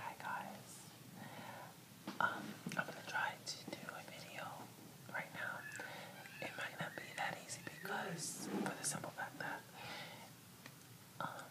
Hi guys. Um, I'm gonna try to do a video right now. It might not be that easy because for the simple fact that um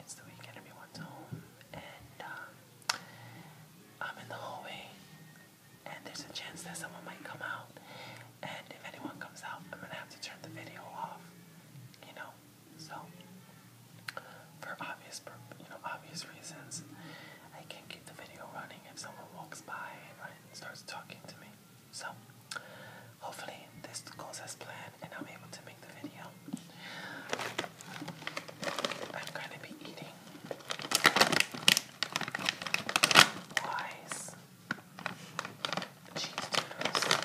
it's the weekend everyone's home and um I'm in the hallway and there's a chance that someone might come out and if anyone comes out I'm gonna have to turn the video off. You know, so, for obvious, you know, obvious reasons, I can't keep the video running if someone walks by and starts talking to me. So, hopefully this goes as planned and I'm able to make the video. I'm gonna be eating wise cheese doodles.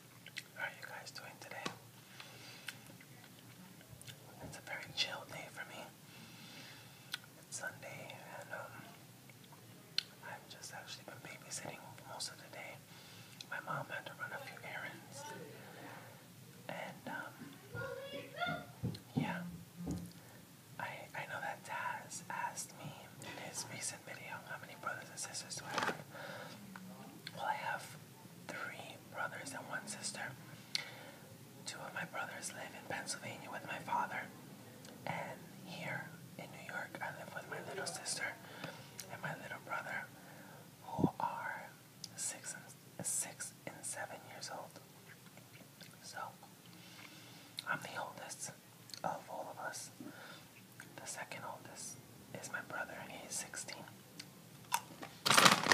How are you guys doing today? It's a very chill day for me. It's Sunday, and um, I've just actually been babysitting most of the day. My mom had to run a few errands, and um, yeah, I I know that Taz asked me in his recent how many brothers and sisters do I have? Well, I have three brothers and one sister. Two of my brothers live in Pennsylvania with my father, and here in New York, I live with my little sister and my little brother, who are six six and seven years old. So I'm the oldest of all of us. The second oldest is my brother, and he's 16.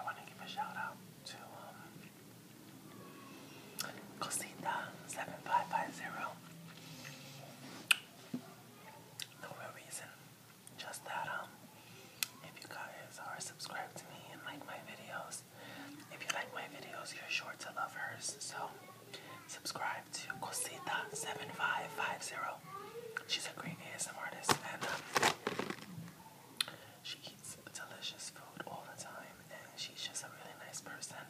I want to give a shout out to um, Cosita seven five five zero. No real reason, just that um, if you guys are subscribed to me and like my videos, if you like my videos, you're sure to love hers. So subscribe to Cosita seven five five zero. She's a great ASM artist, and um, she eats delicious food all the time, and she's just a really nice person.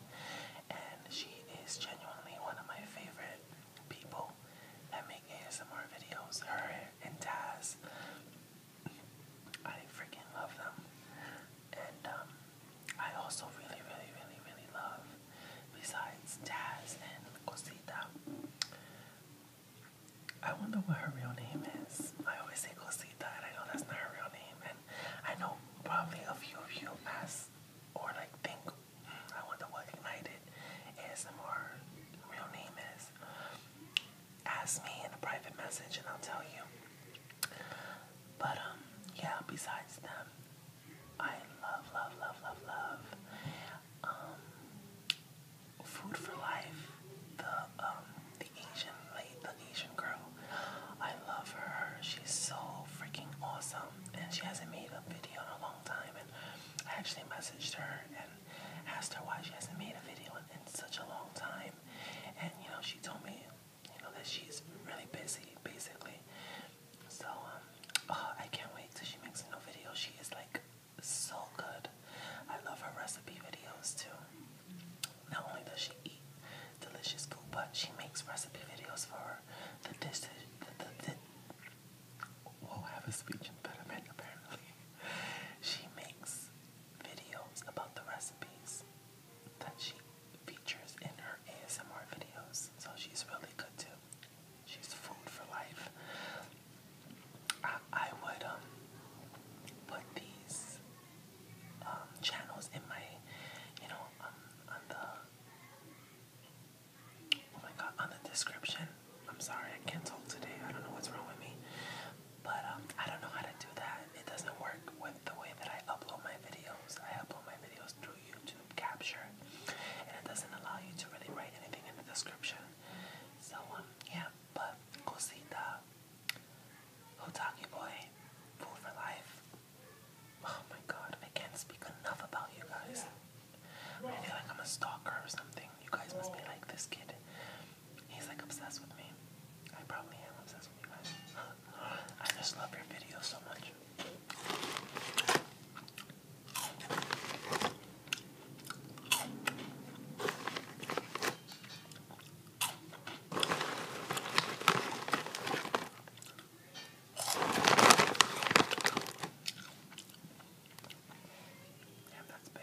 And she is genuinely one of my favorite people that make ASMR videos. Her and Taz, I freaking love them. And um, I also really, really, really, really love, besides Taz and Cosita, I wonder what her real name is. I always say Cosita, and I know that's not her real name. And I know probably a few of you ask or like think, mm, I wonder what Ignited ASMR real name is. Ask me in a private message, and I'll tell you. But um, yeah. Besides them, I love, love, love, love, love. Um, Food for Life, the um the Asian lady, the Asian girl. I love her. She's so freaking awesome, and she hasn't made a video in a long time. And I actually messaged her and asked her why she hasn't made a video in, such a long time. And you know, she told me, you know, that she's really busy, basically. So um, oh, I can't wait till she makes a new video. She is like so good. I love her recipe videos too. Not only does she eat delicious food, but she makes recipe videos for the dish. The, the, the, we'll have a speech impediment apparently. She makes videos about the recipes that she features in her ASMR videos. So she's really good too. She's food for life. I, would um, put these um, channels in my you know um, on the oh my god on the description. I'm sorry I can't talk today. I don't know what's wrong with me. But I don't know how to do that. It doesn't work with the way that I upload my videos. I upload my videos through YouTube capture and it doesn't allow you to really write anything in the description. So yeah, but cosita Hotaki boy, food for life. Oh my god, I can't speak enough about you guys. I feel like I'm a stalker or something. You guys must be like this kid. He's like obsessed with me. I probably am obsessed with you guys. I just love your videos so much. Damn, that's big.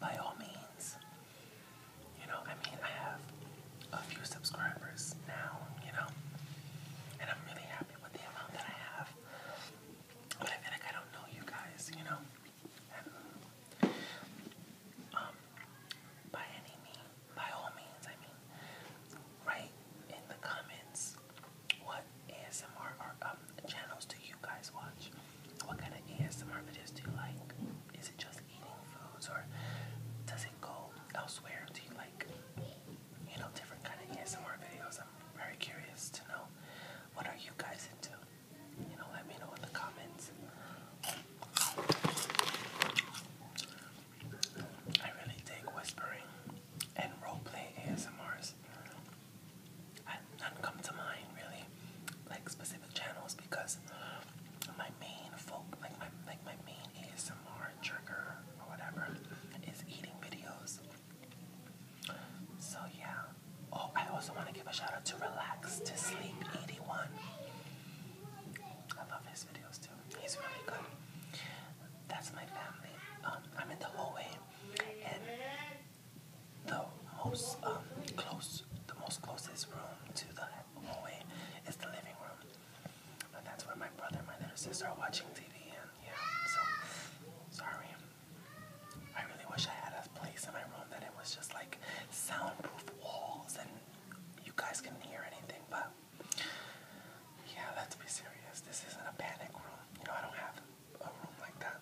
by all means. You know, I mean, I have a few subscribers now, you know, and I'm really happy with the amount that I have. But I feel like I don't know you guys, you know, and, um, by any means, by all means, I mean, write in the comments what ASMR or um, channels do you guys watch? What kind of ASMR videos do you like? Is it just eating foods or does it go elsewhere? Do you like, you know, different kind of ASMR videos? I'm very curious to know. What are you guys into? You know, let me know in the comments. I really dig whispering and role ASMRs none come to mind really, like specific channels because my main folk, like my like my main trigger or whatever, is eating videos. So yeah. Oh, I also want to give a shout out to Relax to Sleep 81. I love his videos too. He's really good. That's my family. Um, I'm in the hallway the most um, close, the most closest room to the hallway is the living room, and that's where my brother and my little sister are watching TV. And yeah, so sorry. I really wish I had a place in my room that it was just like soundproof walls and you guys couldn't hear anything. But yeah, let's be serious. This isn't a panic room. You know, I don't have a room like that.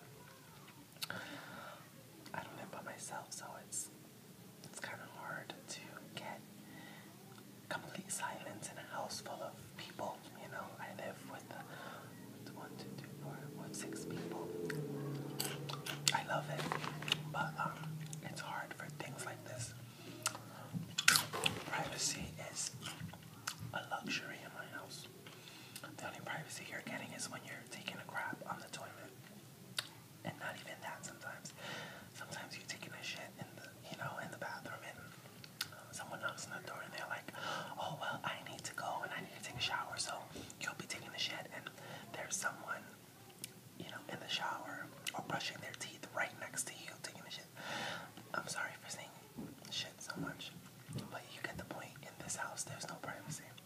I don't live by myself, so it's it's kind of hard to get complete silence in a house full of people. You know, I live with, uh, with one, two, three, four, five, six people. I love it, but um, it's hard for things like this. Privacy is a luxury in my house. The only privacy you're getting is when you're taking a crap on the toilet and not even that sometimes. Sometimes you're taking a shit in the, you know, in the bathroom and uh, someone knocks on the door and they're like, oh, well, I need to go and I need to take a shower. So you'll be taking a shit and there's someone, you know, in the shower or brushing their teeth right next to you taking a shit. I'm sorry for saying shit so much, but you get the point. In this house, there's no privacy.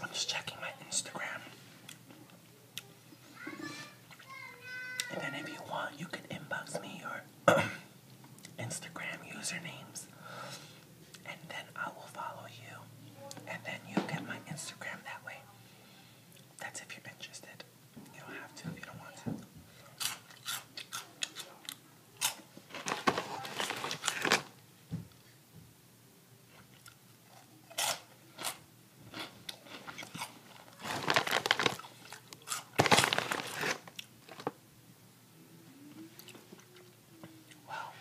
I'm just checking my Instagram. And then if you want, you can inbox me or Instagram usernames, and then I will follow you, and then you get my Instagram that way. That's if you're interested. You don't have to if you don't want to. Wow.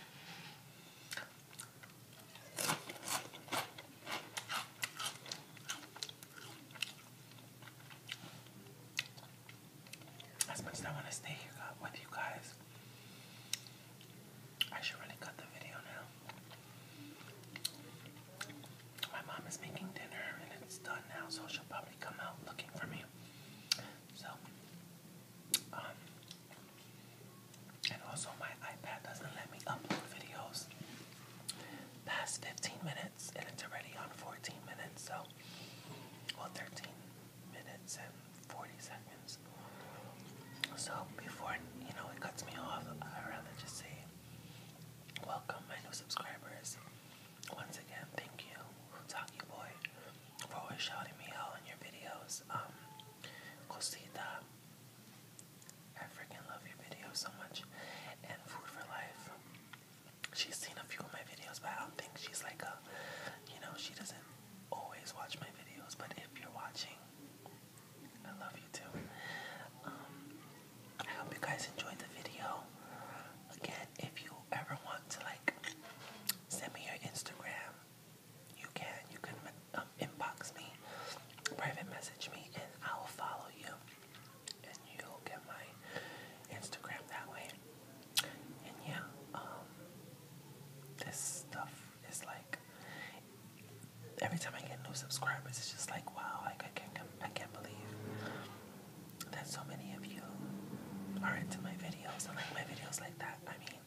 As much as I want to stay here with you guys, I should really cut the video now. My mom is making dinner and it's done now, so she'll probably come out looking for me. So, um, and also my iPad doesn't let me upload videos past 15 minutes, and it's already on 14 minutes, so, well, 13 minutes and 40 seconds. So, before, you know, it cuts me off, I'd rather just say, welcome my new subscribers once again, thank you, Talkie Boy, for always shouting me out in your videos. Um, Cosita, I freaking love your videos so much. And Food for Life, she's seen a few of my videos, but I don't think she's like a, you know, she doesn't always watch my videos. But if you're watching, I love you too. Um, I hope you guys enjoyed the video. Again, if you ever want to like send me your Instagram, you can. You can um, inbox me, private message me, and I will follow you. And you'll get my Instagram that way. And yeah, um, this stuff is like every time I get new subscribers, it's just like wow, like I can't, I can't believe that so many of you are into my videos and like my videos like that. I mean,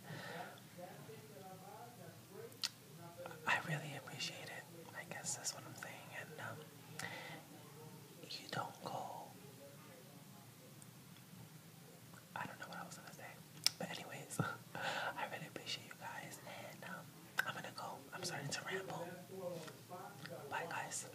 I really appreciate it. I guess that's what I'm saying. And um, you don't go. I don't know what I was gonna say, but anyways, I really appreciate you guys, and um, I'm gonna go. I'm starting to ramble. Bye, guys.